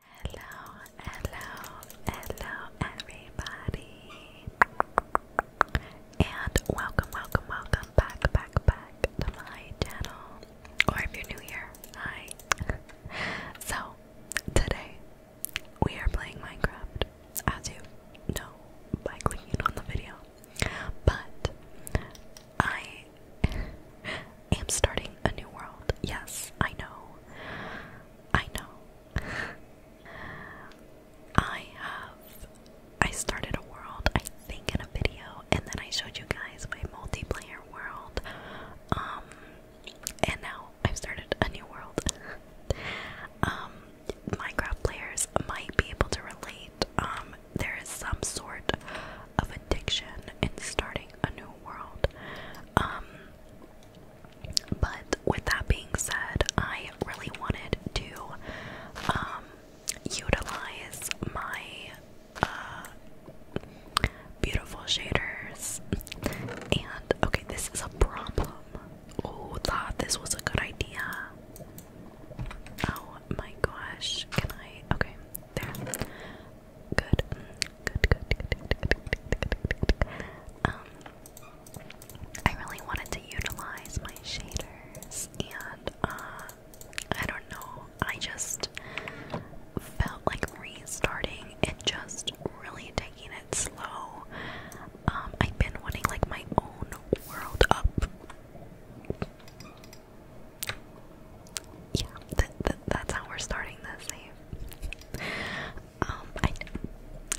Hello, hello, hello, everybody, and welcome, welcome, welcome back, back, back to my channel. Or if you're new here, hi. so, today we are playing Minecraft, as you know by clicking on the video, but I i am starting a new world. Yes, I know. I know. I have. I started a world, I think, in a video, and then I showed you guys my multiplayer world. Um, and now I've started a new world. um, Minecraft players might be able to relate. Um, there is some sort of addiction in starting a new world. Um, but with that being said, I really wanted to um, utilize my uh, beautiful shaders. And okay, this is a problem. Oh, thought this was a good idea. Oh my gosh, can I? Okay, there good, good, good, good, Um, I really wanted to utilize my shaders, and uh, I don't know, I just felt like restarting and just really taking it slow. Um, I've been wanting like my own world up yeah, th th that's how we're starting this save. Um, I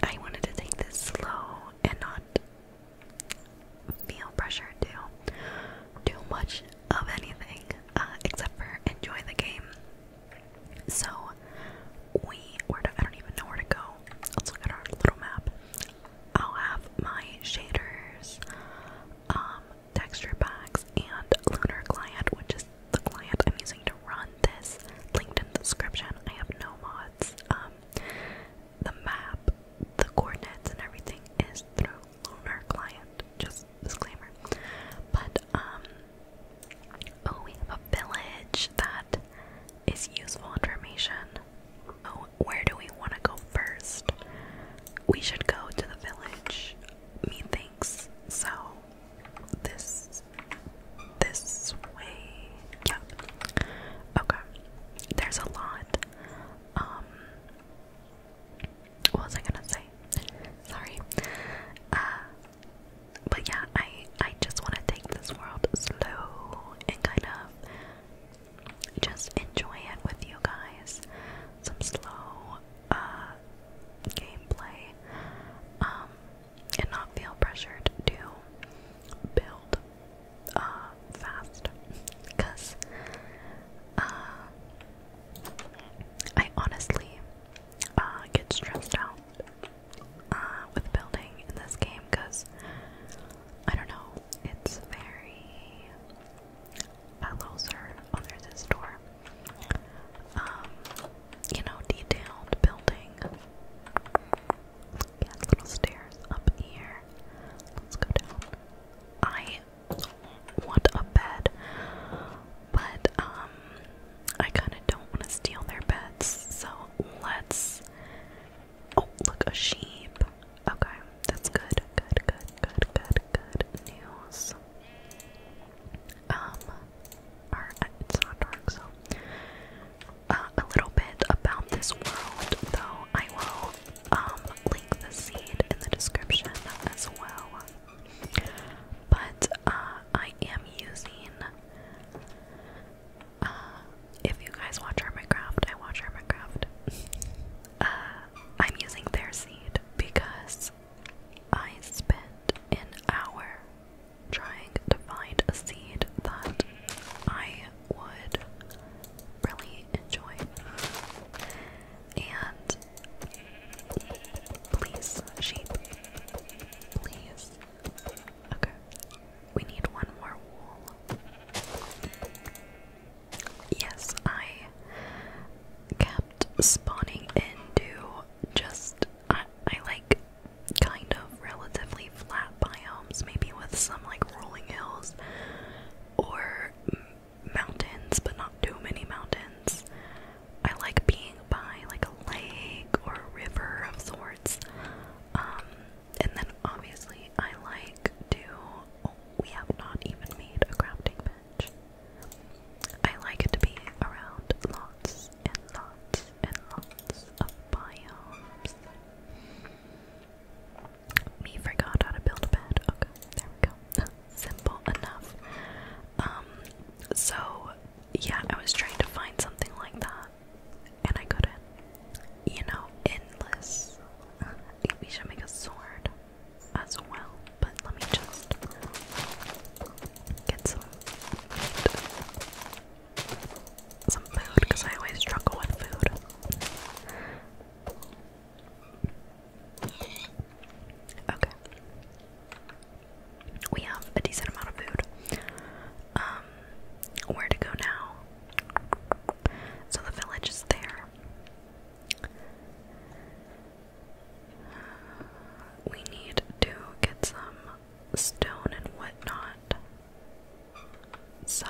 I wanted to take this slow and not feel pressure to do much of anything uh, except for enjoy the game. So we where I don't even know where to go. Let's look at our little map. I'll have my shaders um texture packs, and Lunar Client, which is the client I'm using to run this. Linked description. I have no mods. Um, the map, the coordinates, and everything is through Lunar Client. Just disclaimer. But um, oh, we have a village that is useful information. Oh, where do we want to go first? We should go to the village. Me so this this way. Yeah. Okay. There's a lot. Um what was I gonna say? Sorry. Uh but yeah, I I just wanna take this world slow and kind of just enjoy it with you guys. Some slow uh, gameplay um, and not feel pressured to build uh, fast because uh, I honestly get stressed out with building in this game because I don't know, it's very. Hello, sir. Oh, door. Um, you know, detailed building. Yeah, little stairs up here. Let's go down. I want a bed, but um, I kind of don't want to steal their beds, so let's. Oh, look, a sheep. Okay, that's good. Good, good, good, good, good news um, it's not dark, so uh, a little bit about this world, though I will um, link the seed in the description as well. But uh, I am using. Uh, if you guys watch Hermitcraft, I watch Hermitcraft. uh, I'm using their seed because I spent an hour trying to find a seed that I would really enjoy. And please, sheep, please. Okay, we need one more wool. Yes, I kept spawning into just I, like kind of relatively flat biomes, maybe with some like rolling hills or mountains, but not too many mountains. I like being by like a lake or river of sorts. Um, and then obviously I like to. Oh, we have not even made a crafting bench. I like to be around lots and lots and lots of biomes. Me forgot how to build a bed. Okay, there we go. Simple enough. Um, so yeah, I was trying to find something like that, and I couldn't. You know, endless. We should make a sword as well but let me just get some Some food, because I always struggle with food. Okay. We have a decent amount of food. Um, where to go now? So the village is there. We need to get some stone and whatnot. So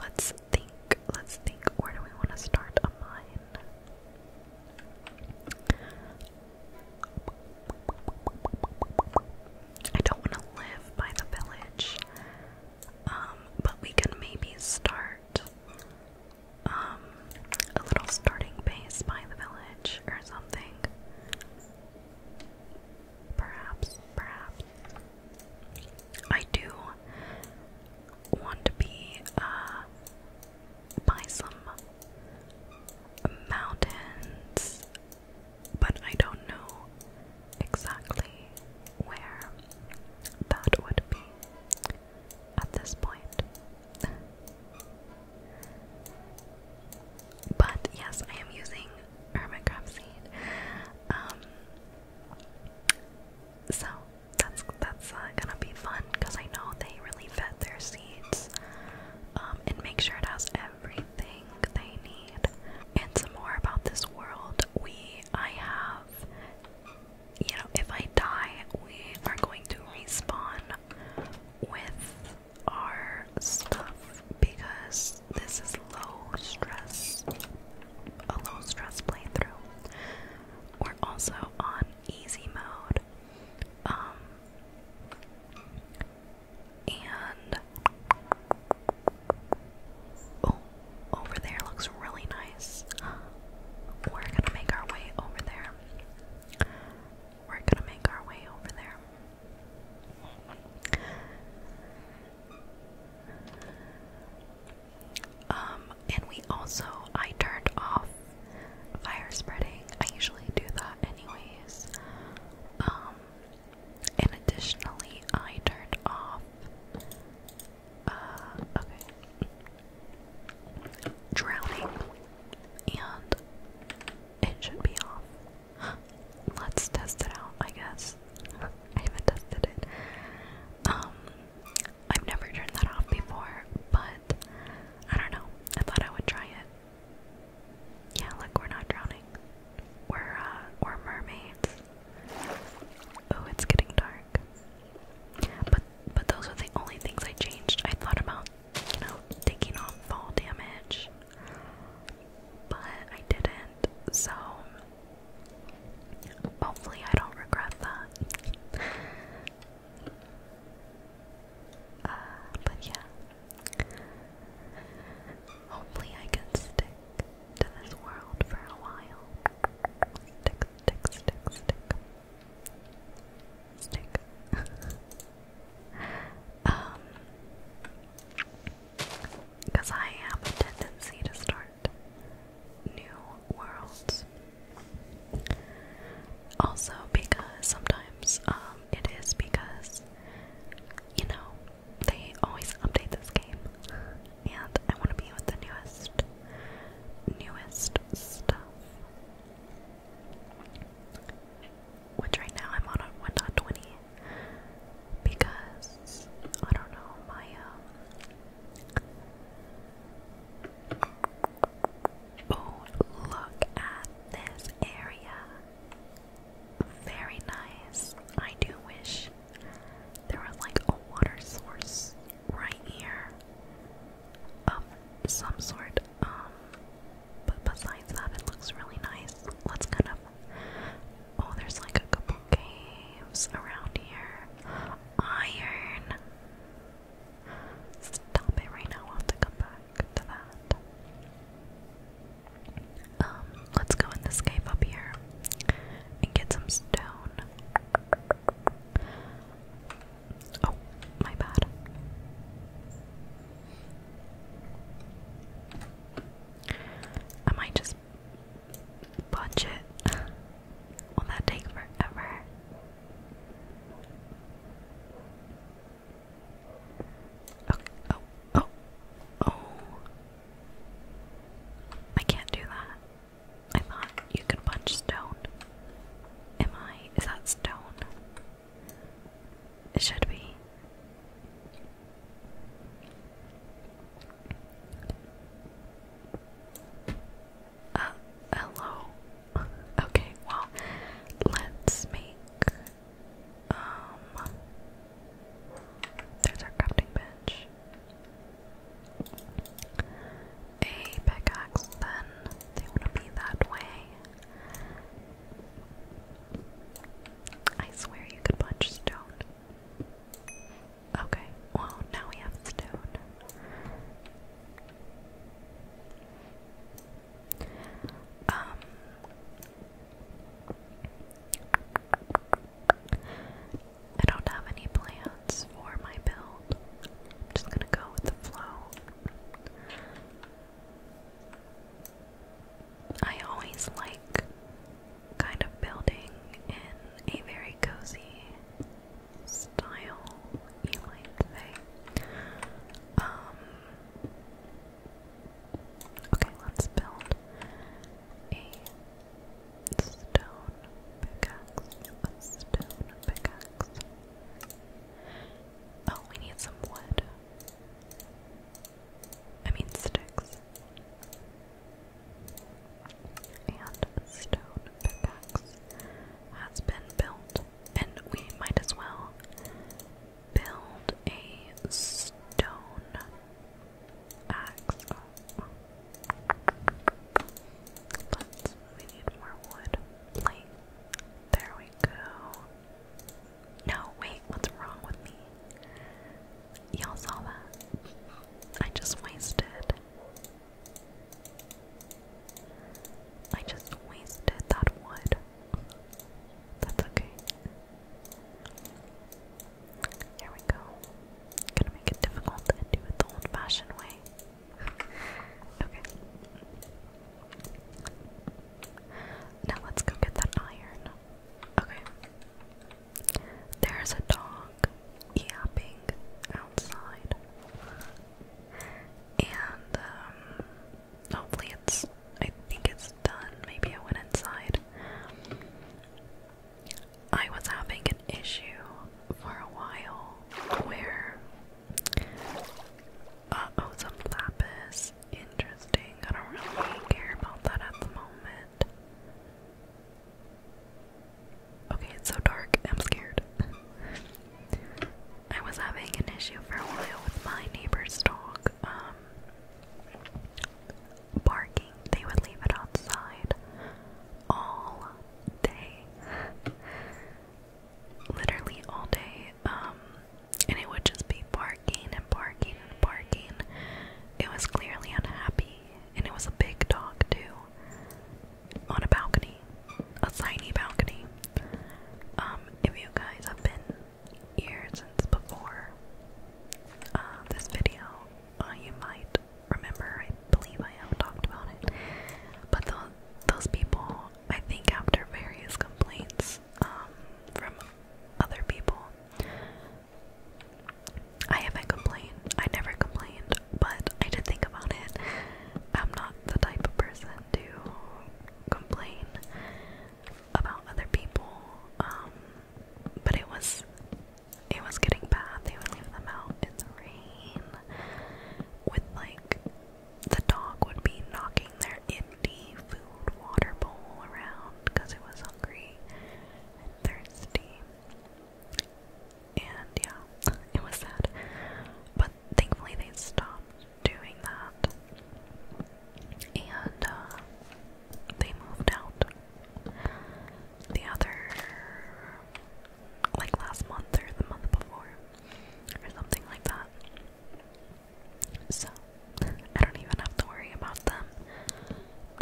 let's think, let's think, where do we want to start a mine? I don't want to live by the village, um, but we can maybe start um, a little starting base by the village or something. Perhaps, perhaps. I do want to be uh, by some mountains, but I don't know exactly where that would be at this point. but yes, I am using hermit crab seed. Um, so that's that's uh, gonna be fun because I know they really vet their seeds um, and make sure it has everything they need. And some more about this world, we I have you know, if I die, we are going to respawn with our stuff because this is low stress, a low stress playthrough. We're also on easy mode, um, and oh, over there looks really nice. We're gonna make our way over there. We're gonna make our way over there. Um, and we also, I turned off fire spreading. I usually do that anyways. Um, and additionally, I turned off, uh, okay drowning, and it should be off. Let's test it out, I guess. I haven't tested it. Um, I've never turned that off before, but I don't know. I thought I would try it. Yeah, look, we're not drowning. We're uh, we're mermaids. Oh, it's getting dark. But but those were the only things I changed. I thought about, you know, taking on fall damage, but I didn't. So hopefully, I don't regret that. Uh, but yeah, hopefully I can stick to this world for a while. Stick, stick, stick, stick. Stick. um, because I have a tendency to start new worlds. Also, because sometimes um, it is because you know they always update this game, and I want to be with the newest, newest stuff. Which right now I'm on a 1.20 because I don't know my um, Oh, look at this area. Very nice. I do wish there was like a water source right here. Um, some sort. Um, but besides that, it looks really nice. Let's kind of. Oh, there's like a couple caves around here. Iron. Stop it right now. i have to come back to that. Um, let's go in this cave up here and get some stone. Oh, my bad. I just punch it. Will that take forever? Okay. Oh, oh, oh. I can't do that. I thought you could punch stone. Am I? Is that stone? It should be. Uh, hello. Okay, well, let's make. Um. There's our crafting bench a pickaxe, then they want to be that way. I swear you could punch stone. Okay, well, now we have stone. Um. I don't have any plans for my build. i just gonna go with the flow. I always like kind of building in a very cozy style, you might um, okay, let's build a stone pickaxe. stone pickaxe. Oh, we need some wood. I mean sticks. And stone pickaxe has been built. And we might as well build a stone axe. But oh. we need more wood. There we go. No, wait, what's wrong with me? Y'all saw that. I just wasted. I just wasted that wood. That's okay. Here we go. Gonna make it difficult and do it the old fashioned way okay. Now let's go get that iron. Okay. There's a dog yapping outside. And um, hopefully it's I think it's done. Maybe I went inside. I was having an issue for a while where uh oh, some lapis. Interesting. I don't really care about that at the moment. Okay, it's so dark. I'm scared. I was having an issue for a while with my neighbor's dog. Um, barking. They would leave it outside all day literally all day. Um, and it would just be barking and barking and barking. It was clearly unhappy, and it was a big dog too. On a balcony, a tiny balcony. Um, if you guys have been here since before uh, this video, uh, you might remember. I believe I have talked about it, but those people I think after various complaints um, from other people, I haven't complained. I never complained, but I did think about it. I'm not the type of person to complain about other people, um, but it was it was getting bad. They would leave them out in the rain with like the dog would be knocking their empty food water bowl around because it was hungry and thirsty. And yeah, it was sad. But thankfully, they stopped doing that. And uh, they moved out. The other, like last month or the month before or something like that. So, I don't even have to worry about them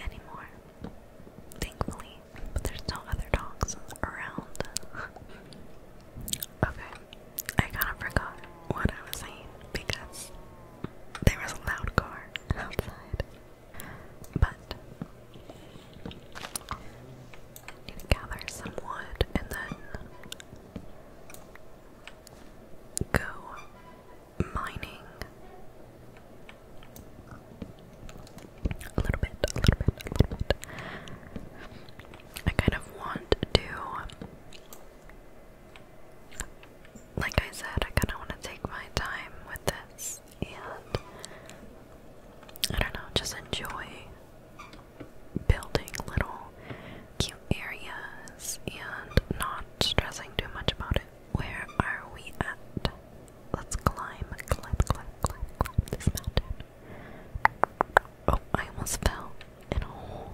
anymore. Thankfully, but there's no other dogs around. okay, I kind of forgot what I was saying because there was a loud car outside. But Need to gather some wood and then go mining. A little bit, a little bit, a little bit. I kind of want to, like I said, I kind of want to take my time with this and I don't know, just enjoy building little cute areas and not stressing too much about it. Where are we at? Let's climb, climb, climb, climb, this mountain. Oh, I almost fell in a hole.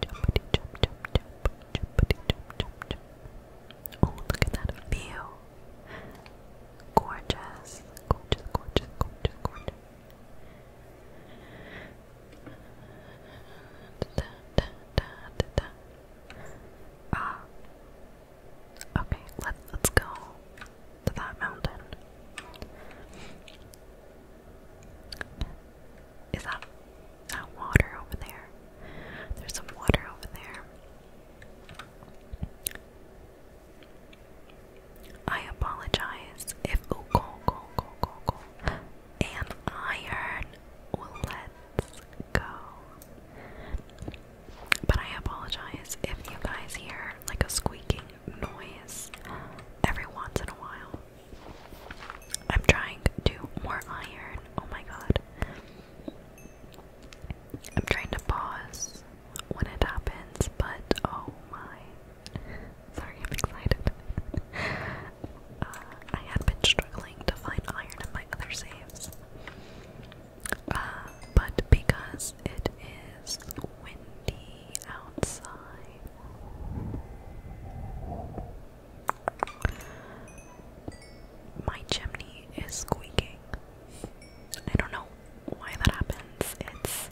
Jumpity, jump, jump, jump, jumpity, jump, jump, jump. Oh, look at that view. Gorgeous, gorgeous, gorgeous, gorgeous, gorgeous. Ah. Okay, let let's go to that mountain. Is that that water over there? There's some water over there. I apologize if go, go, go, go, go. an iron lets go. But I apologize if you guys hear like a squeaking noise every once in a while. I'm trying to more iron. Oh my god. I'm trying to pause when it happens, but oh my. Sorry, I'm excited. Uh, I had been struggling to find iron in my other saves. Uh, but because it is windy outside, my chimney is squeaking. I don't know why that happens. It's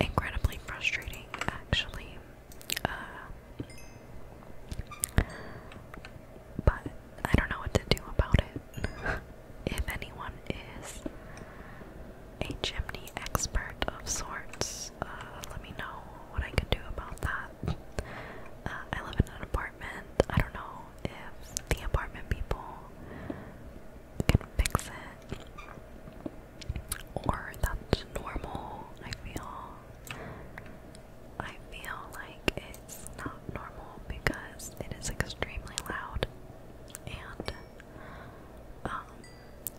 incredibly frustrating, actually. Uh, but I don't know what to do about it. if anyone is a chimney expert of sorts, uh, let me know what I can do about that. Uh, I live in an apartment I don't know if the apartment people can fix it or that's normal. I feel I feel like it's not normal because it is extremely loud and um,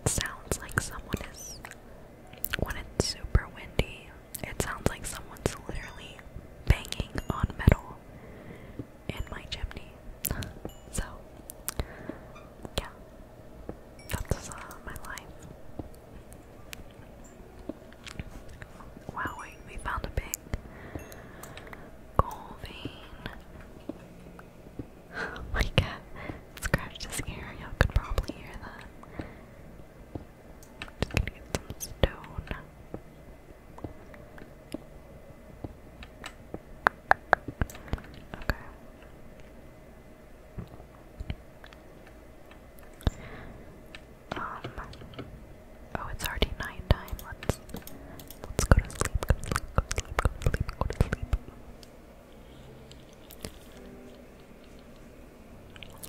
sounds like someone is when it's super windy it sounds like someone's literally banging on metal in my chimney. so, yeah, that's uh, my life. Wow, wait, we found a big gold vein. Oh my god, scratched his ear, you could probably hear that. Okay. Um. Oh, it's already night time. Let's let's go to sleep. Go to sleep. Go to sleep. Go to sleep. Go to sleep.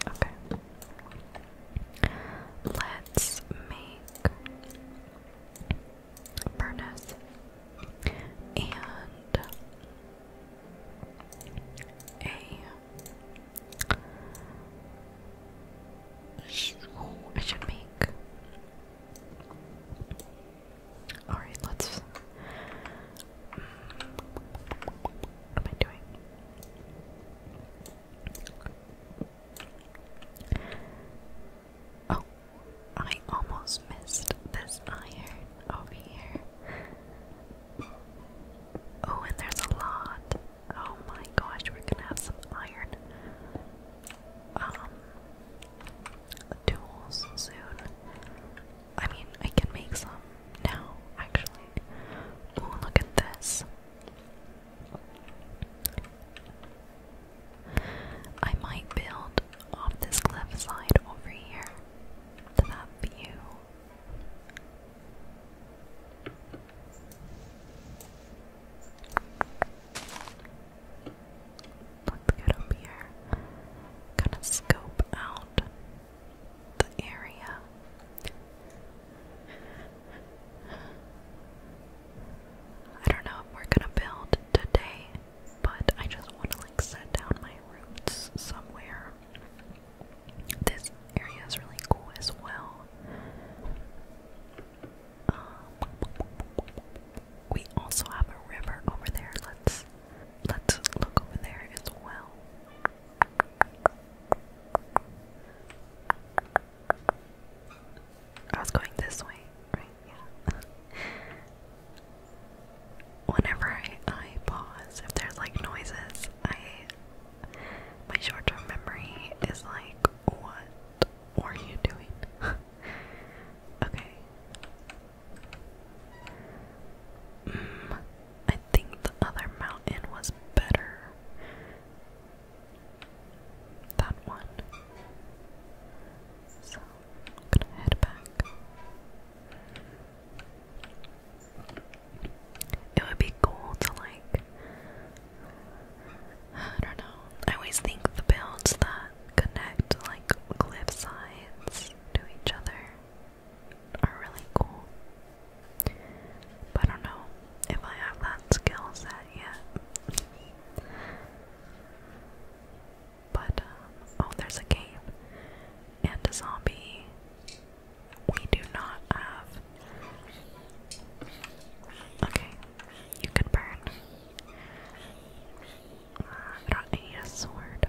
Okay. Let's make furnace and a oh, should make all right, let's. Mm, what am I doing? Oh, I almost missed this iron over here. Oh, and there's a lot. Oh my gosh, we're gonna have some iron um tools soon. I mean, I can make some now, actually. Oh, look at this. I might build off this cliffside over here to that view. Let's get up here. Kind of scope out the area. I don't know if we're gonna build today, but I just want to like set down my roots somewhere. This area is really cool as well. Um, we also have a river over there. Let's let's look over there as well. I was going this way, right? Yeah. Whenever I, I pause, if there's like noises, I my short-term memory is like, what were you doing? okay. Mm, I think the other mountain was better that one. So gonna head back. It would be cool to like I don't know. I always think the builds that connect like cliff sides to each other are really cool. I don't know if I have that skill set yet. but, um, oh, there's a cave and a zombie. We do not have. Okay, you could burn. I don't need a sword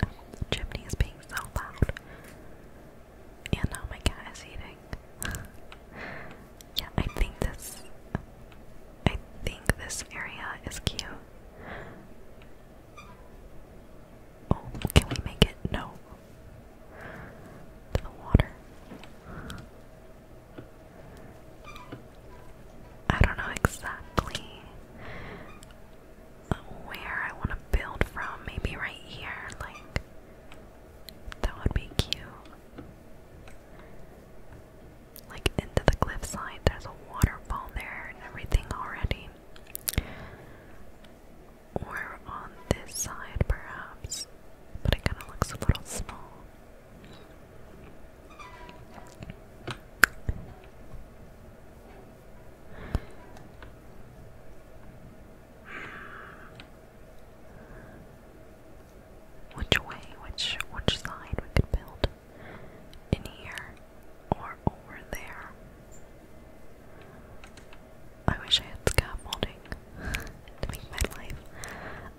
the chimney is being so loud. And now oh my cat is eating. yeah, I think this I think this area is cute. Oh, can we make it? No. To the water. I don't know exactly where I want to build from. Maybe right here, like that would be cute. Like into the cliffside, there's a waterfall there and everything already. Or on this side, perhaps, but it kind of looks a little small. Which way, which which side we could build? In here or over there? I wish I had scaffolding to make my life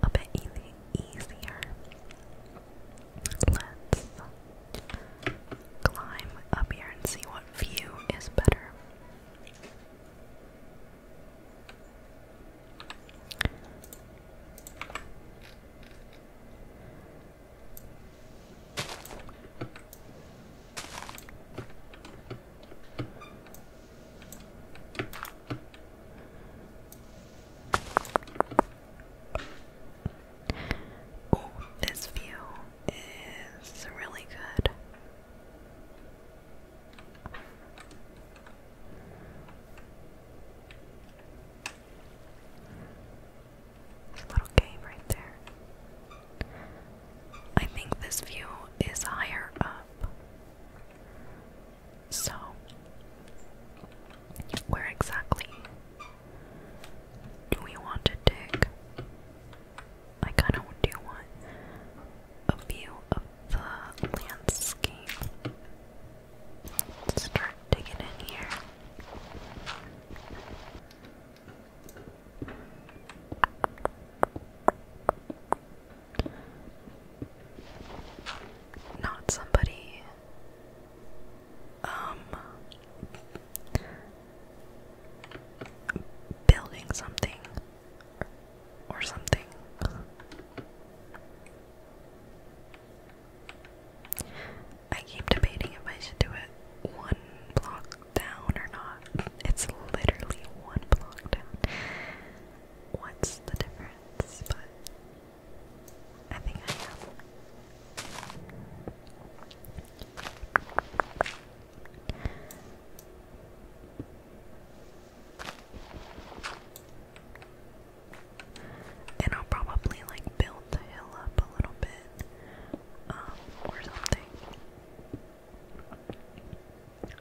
a bit easier. Let's climb up here and see what view is better. Oh, this view is really good. little cave right there. I think this view is higher up. So, where exactly do we want to dig? I kind of do want a view of the landscape. start digging in here. Not somebody um, building something or something. I keep debating if I should do it one block down or not. It's literally one block down. What's the difference? I think I am. And I'll probably like build the hill up a little bit, um, or something.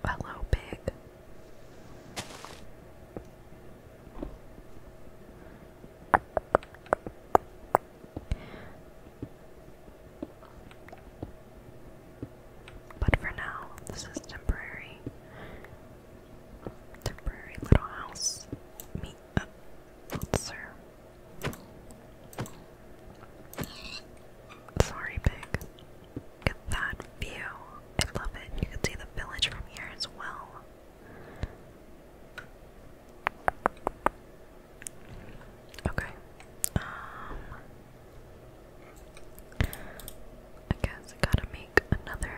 Hello, pig. But for now, this is temporary. Temporary little house. Meet up, sir. Sorry, Big. Look at that view. I love it. You can see the village from here as well. Okay. Um I guess I gotta make another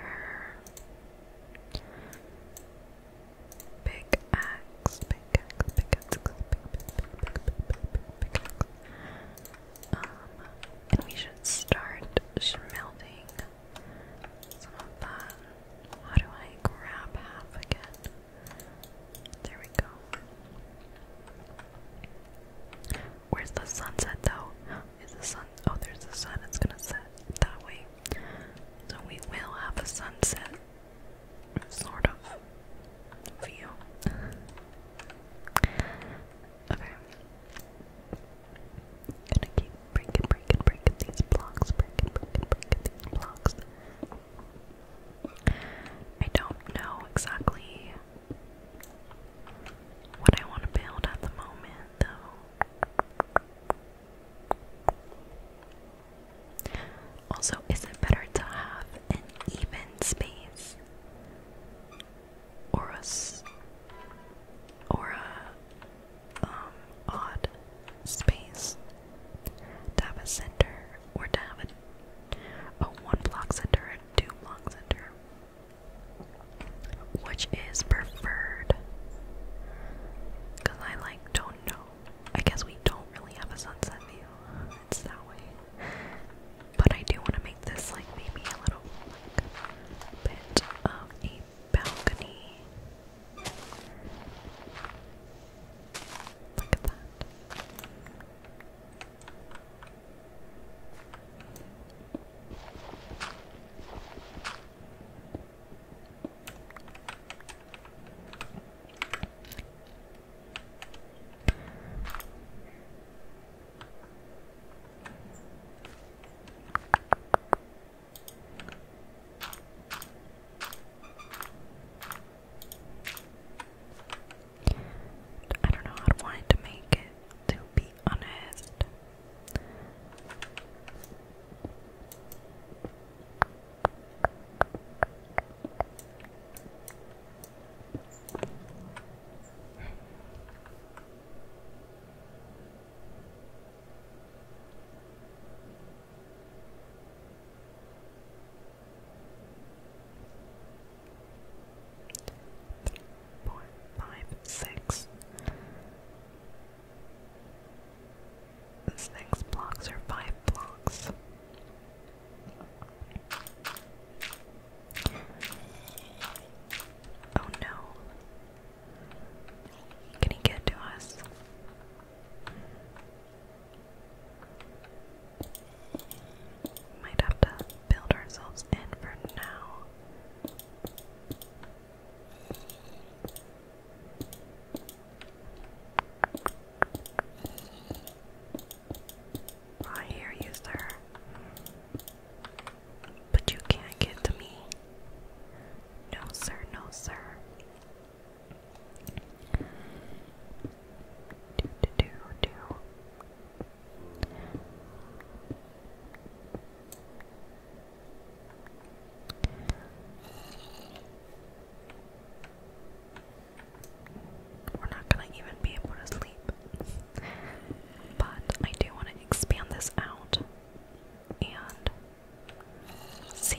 big axe, big axe, big axe, big big big big big axe. Um and we should start smelting some of that. How do I grab half again? There we go. Where's the sunset though? Is the sun? Oh, there's the sun. It's gonna set that way. So we will have a sunset sort of view. okay. Gonna keep breaking, breaking, breaking these blocks, breaking, breaking, breaking these blocks. I don't know exactly what I want to build at the moment, though. Also, is it better to have an even space? or a s a um odd space to center or to a, one block center and two block center which is preferred because I like don't know I guess we don't really have a sunset view it's that way but I do want to make this like maybe a little bit of a balcony. Look at that. I don't know how I wanted to make it, to be honest. Point five six. This blocks are five blocks. Oh no, can he get to us? Might have to build ourselves in for now. I hear you, sir. But you can't get to me. No, sir, no, sir. We're not going to even be able to sleep. but I do want to expand this out and C.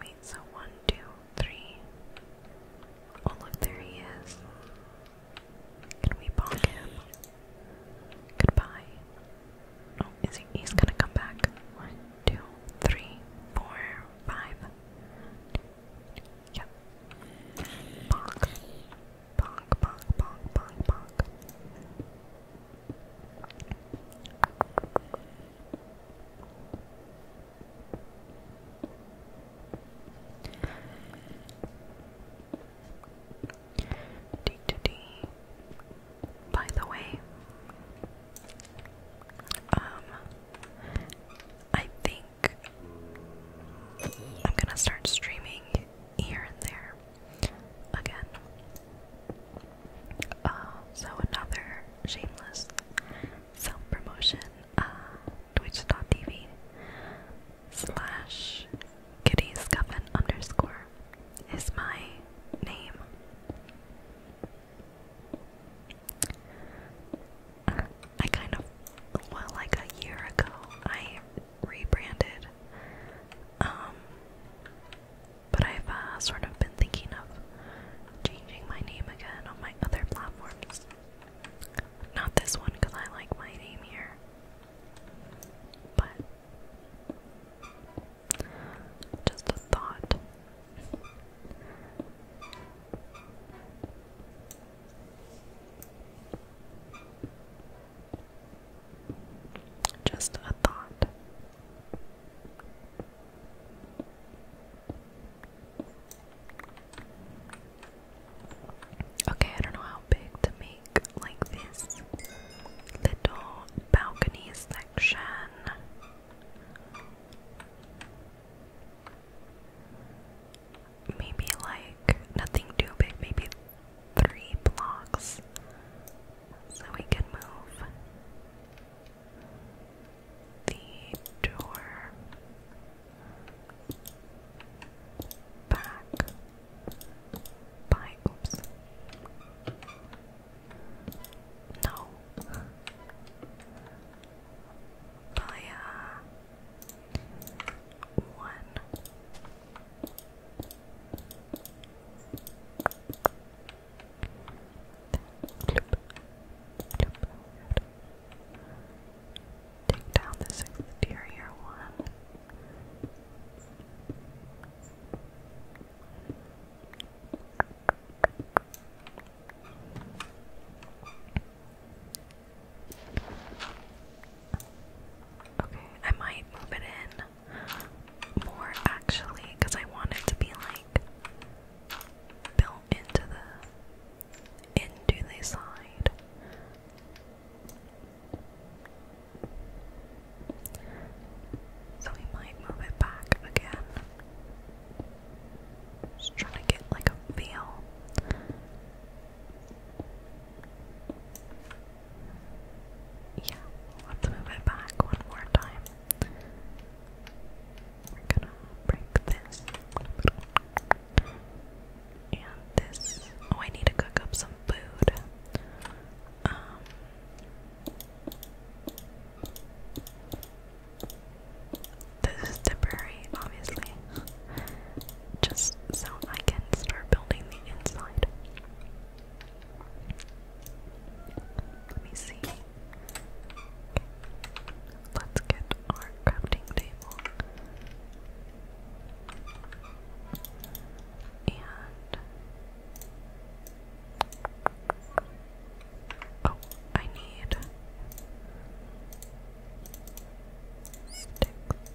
Wait, so one, two, three. Oh, look, there he is. Can we bond him? Goodbye. Oh, is he? He's gonna come back. One, two, three, four, five. Yep. Bonk. Bonk, bonk, bonk, bonk, bonk. Dee, dee, dee. By the way, um, I think I'm gonna start streaming here and there again. Uh, so another shameless self-promotion, uh, twitch.tv slash kittyscuffin underscore is my name. Uh, I kind of, well, like a year ago, I rebranded um, but I've uh, sort of been thinking of changing my name again on my other platforms. Not this one because I like my name here. But just a thought. Just a thought. Okay, I don't know how big to make like this little balcony section. Maybe like nothing too big, maybe three blocks so we can move the door back by oops. No. By uh, one Take down this exterior one. Okay, I might move it in more actually, because I want it to be like built into the into side. So we might move it back again. Just trying to get like a feel. Yeah, we'll move it back one more time. gonna break this. And this. Oh, I need to cook up some food. Um, this is temporary, obviously. Just so I can start building the inside. Let me see. Let's get our crafting table. And oh, I need sticks.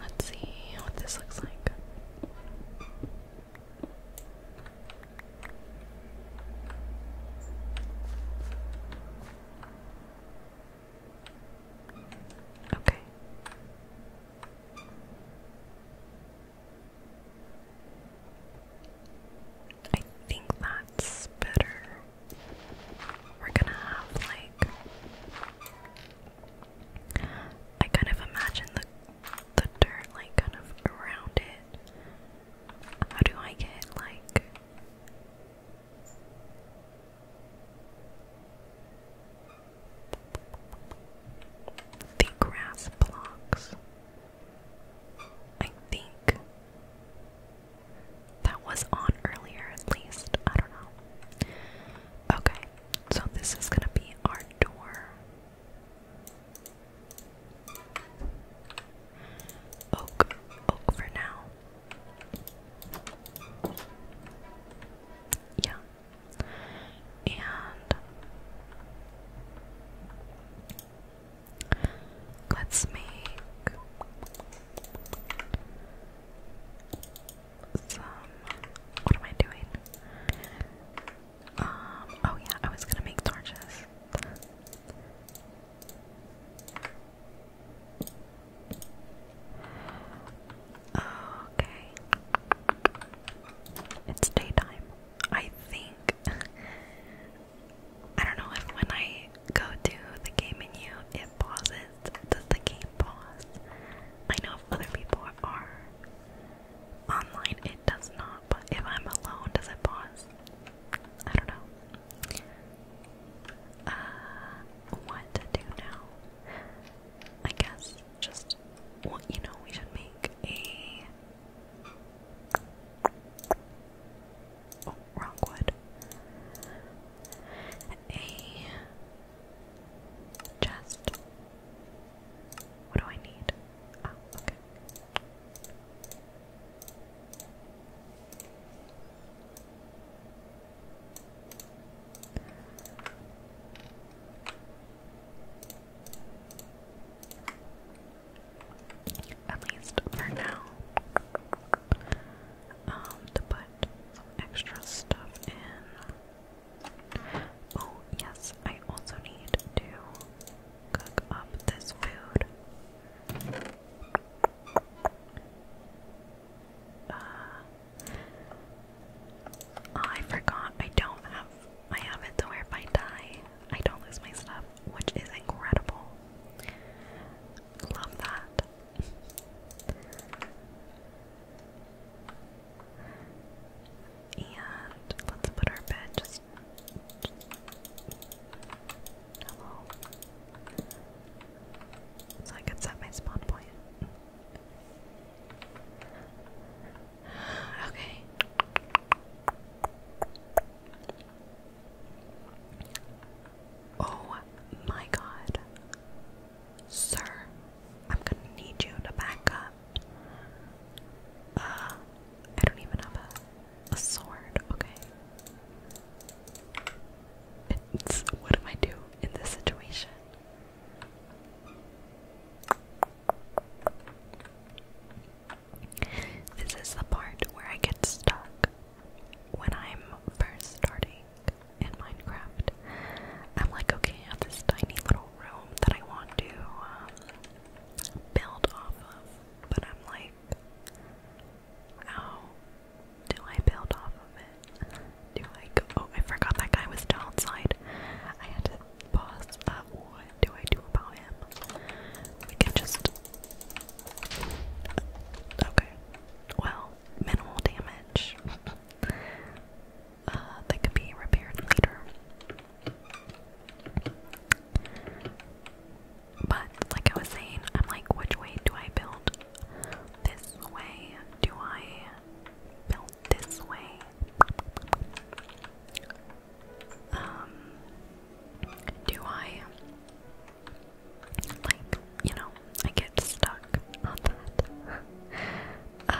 Let's see what this looks like. Okay. I think that's better. We're gonna have like I kind of imagine the the dirt like kind of around it. How do I get like the grass blocks? I think that was on earlier, at least. I don't know. Okay, so this is gonna be our door. Oak, oak for now. Yeah. And Let's make some. What am I doing? Um. Oh yeah, I was gonna make torches. Okay. It's daytime. I think I don't know if when I go to the game menu it pauses. Does the game pause? I know if other people are online it does not, but if I'm alone, does it pause? I don't know. Uh, what to do now? I guess just, well, you know, we should make a Oh, wrong A chest. What do I need? Oh, okay. At least for now. Um, to put extra stuff in. Oh, yes, I also need to cook up this food. Uh, oh, I forgot I don't have I have it if I die, I don't lose my stuff which is incredible. Love that. And let's put our bed Hello. So I could set my spawn point. Okay. Oh my god. Sir, I'm gonna need you to back up. Uh, I don't even have a, a sword, okay? what do I do in this situation? This is the part where I get stuck. When I'm first starting in Minecraft, I'm like, okay, I have this tiny little room that I want to um, build off of, but I'm like, how do I build off of it? Do I go? Oh, I forgot that guy was downside. I had to pause. Uh, what? do I do about him? We can just... Okay. Well, minimal damage. uh, could be repaired later. But, like I was saying, I'm like, which way do I build? This way? Do I build this way? um, do I, like, you know, I get stuck on that. uh,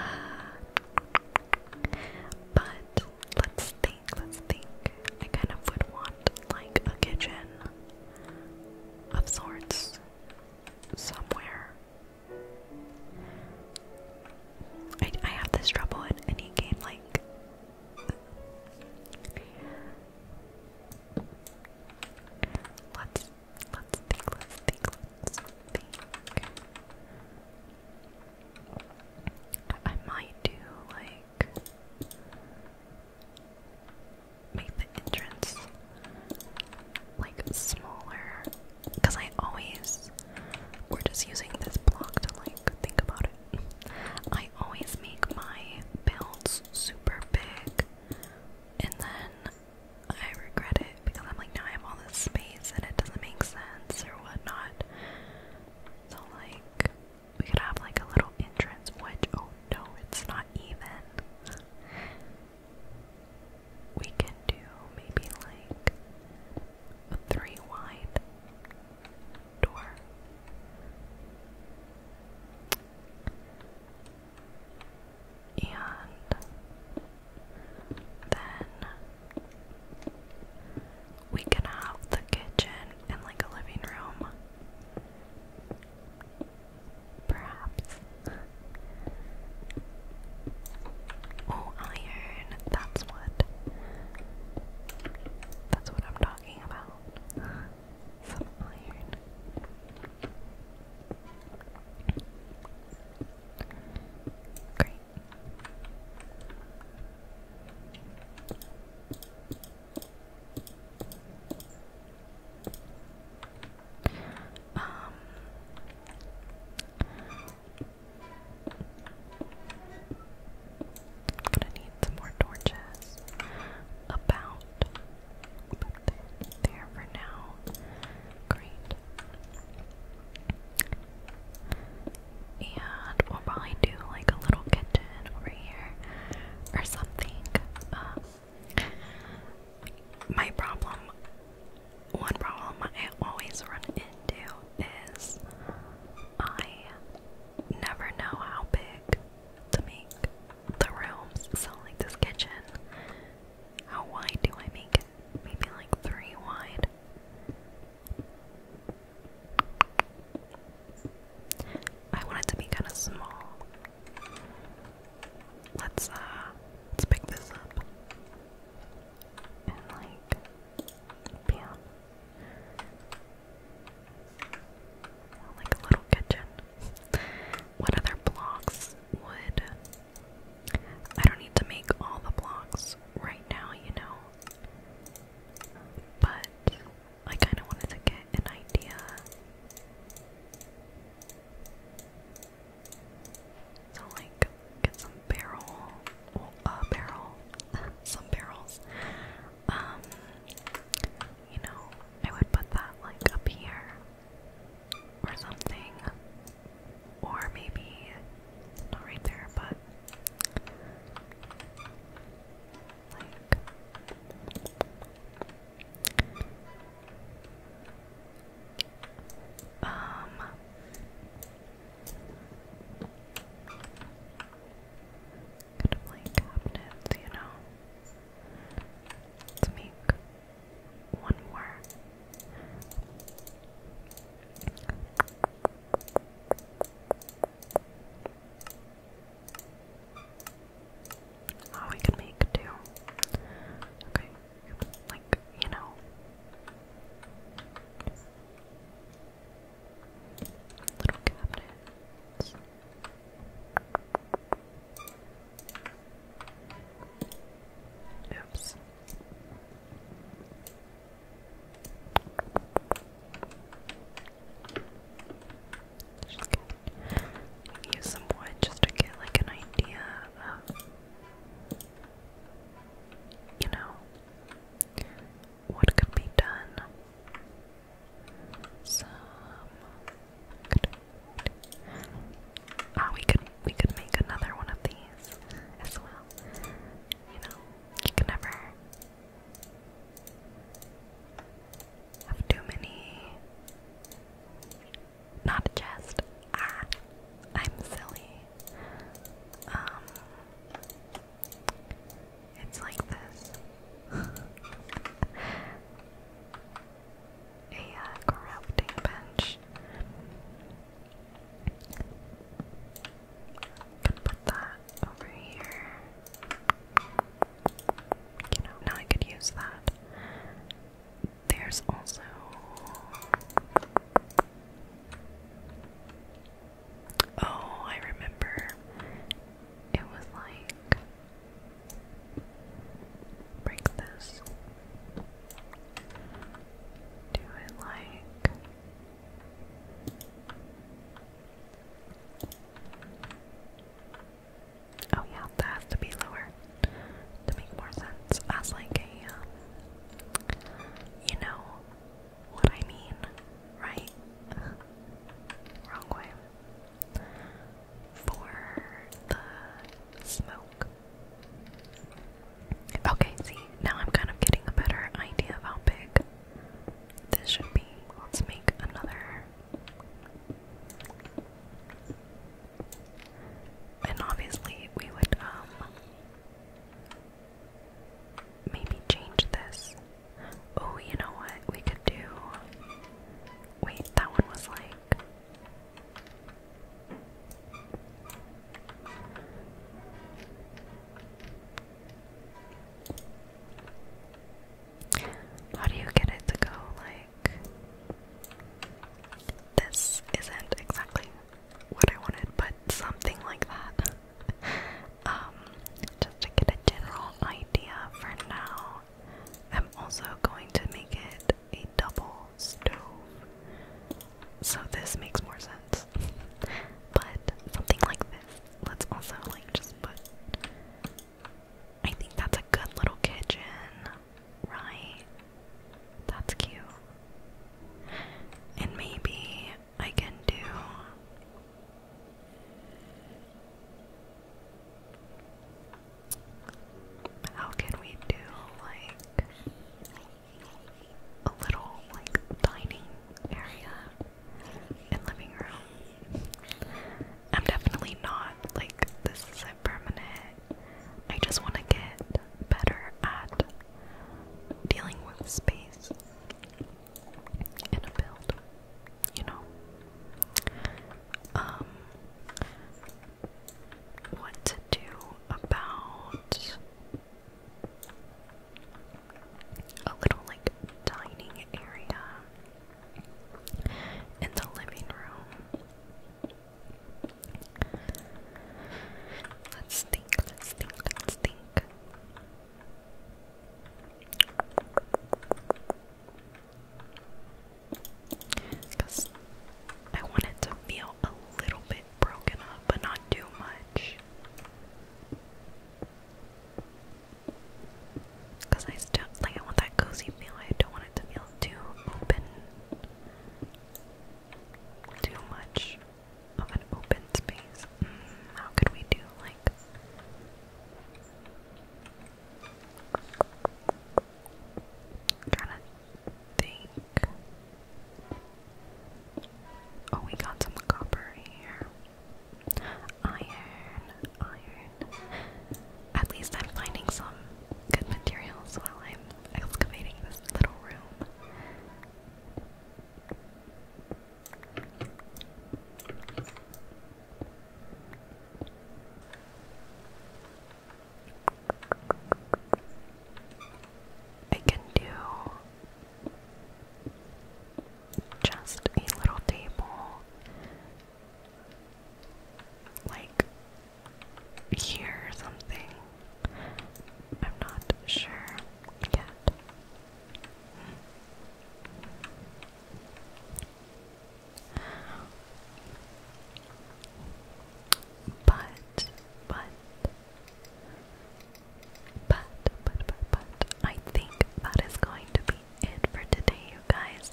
but let's think, let's think. I kind of would want, like, a kitchen of sorts somewhere. I, I have this trouble in any game, like, Let's let's think, let's think, let's think. I might do like make the entrance like smaller because I always we're just using this block to like think, about it. I always make my builds super big and then I regret it because I'm like now I have all this space and it doesn't make sense or whatnot. So like we could have like a little entrance which oh no it's not even we can do maybe like three wide door. And then we can have the kitchen and like a living room. Perhaps. Oh, iron. That's what. That's what I'm talking about. Some iron. Great. Um I'm gonna need some more torches. About there for now. Great. And we'll probably do like a little kitchen over here or something. Um, my problem, one problem I always run into is I never know how big to make the rooms. So, like this kitchen, how wide do I make it? Maybe like three wide. I want it to be kind of small. Let's uh, let's pick this up and like, bam. Like a little kitchen. What other blocks would. I don't need to make all the blocks right now, you know? But I kind of wanted to get an idea. So, like, get some barrel uh, barrel, some barrels. Um, you know, I would put that like up here or something, or maybe not right there, but like. Um kind of like cabinets, you know. Let's make one more. Oh, we can make two. Okay, like, you know. Little cabinets. Oops. Just Use some wood just to get like an idea of, you know, what could be done. Ah, we could we could make another one of these as well. You know, you can never have too many. Not a chest. Ah, I'm silly. Um, it's like this. A uh, crafting bench. Can put that over here. You know, now I could use that. There's also Oh, I remember. It was like break this. Do it like Oh yeah, that has to be lower to make more sense as like a um, you know what I mean, right? Wrong way. For the smoke. Okay, see, now I'm kind of getting a better idea of how big this should be. Let's make another. And obviously, we would, um, maybe change this. Oh, you know what? We could do. Wait, that one was like. How do you get it to go like. This isn't exactly what I wanted, but something like that um, just to get a general idea for now. I'm also going to make it a double stove, so this makes more sense. but something like this, let's also like just put. I think that's a good little kitchen, right? That's cute. And maybe I can do. How can we do like a little like dining area and living room? I'm definitely not like this is permanent. I just want to get better at dealing with space in a build, you know. Um, what to do about a little like dining area in the living room? Let's think, let's think, let's think. Because I want to feel a little bit broken up, but not too much. Because I still like, I want that cozy feel. I don't want it to feel too open, too much of an open space. Mm, how could we do like I'm think. Oh, we got some copper here. Iron, iron. At least I'm finding some good materials while I'm excavating this little room. I can do just a little table like here or something. I'm not sure yet. But, but, but, but, but, but, I think that is going to be it for today, you guys.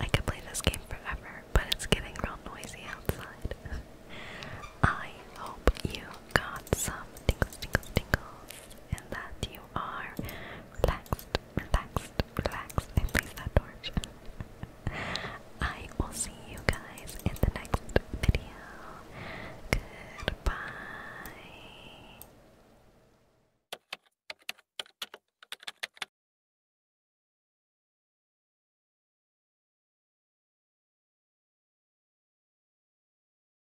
I could play this game forever, but it's getting real noisy outside. I hope you got some tingles, tingles, tingles, and that you are relaxed, relaxed, relaxed. And please that torch. I will see you guys in the next video. Goodbye.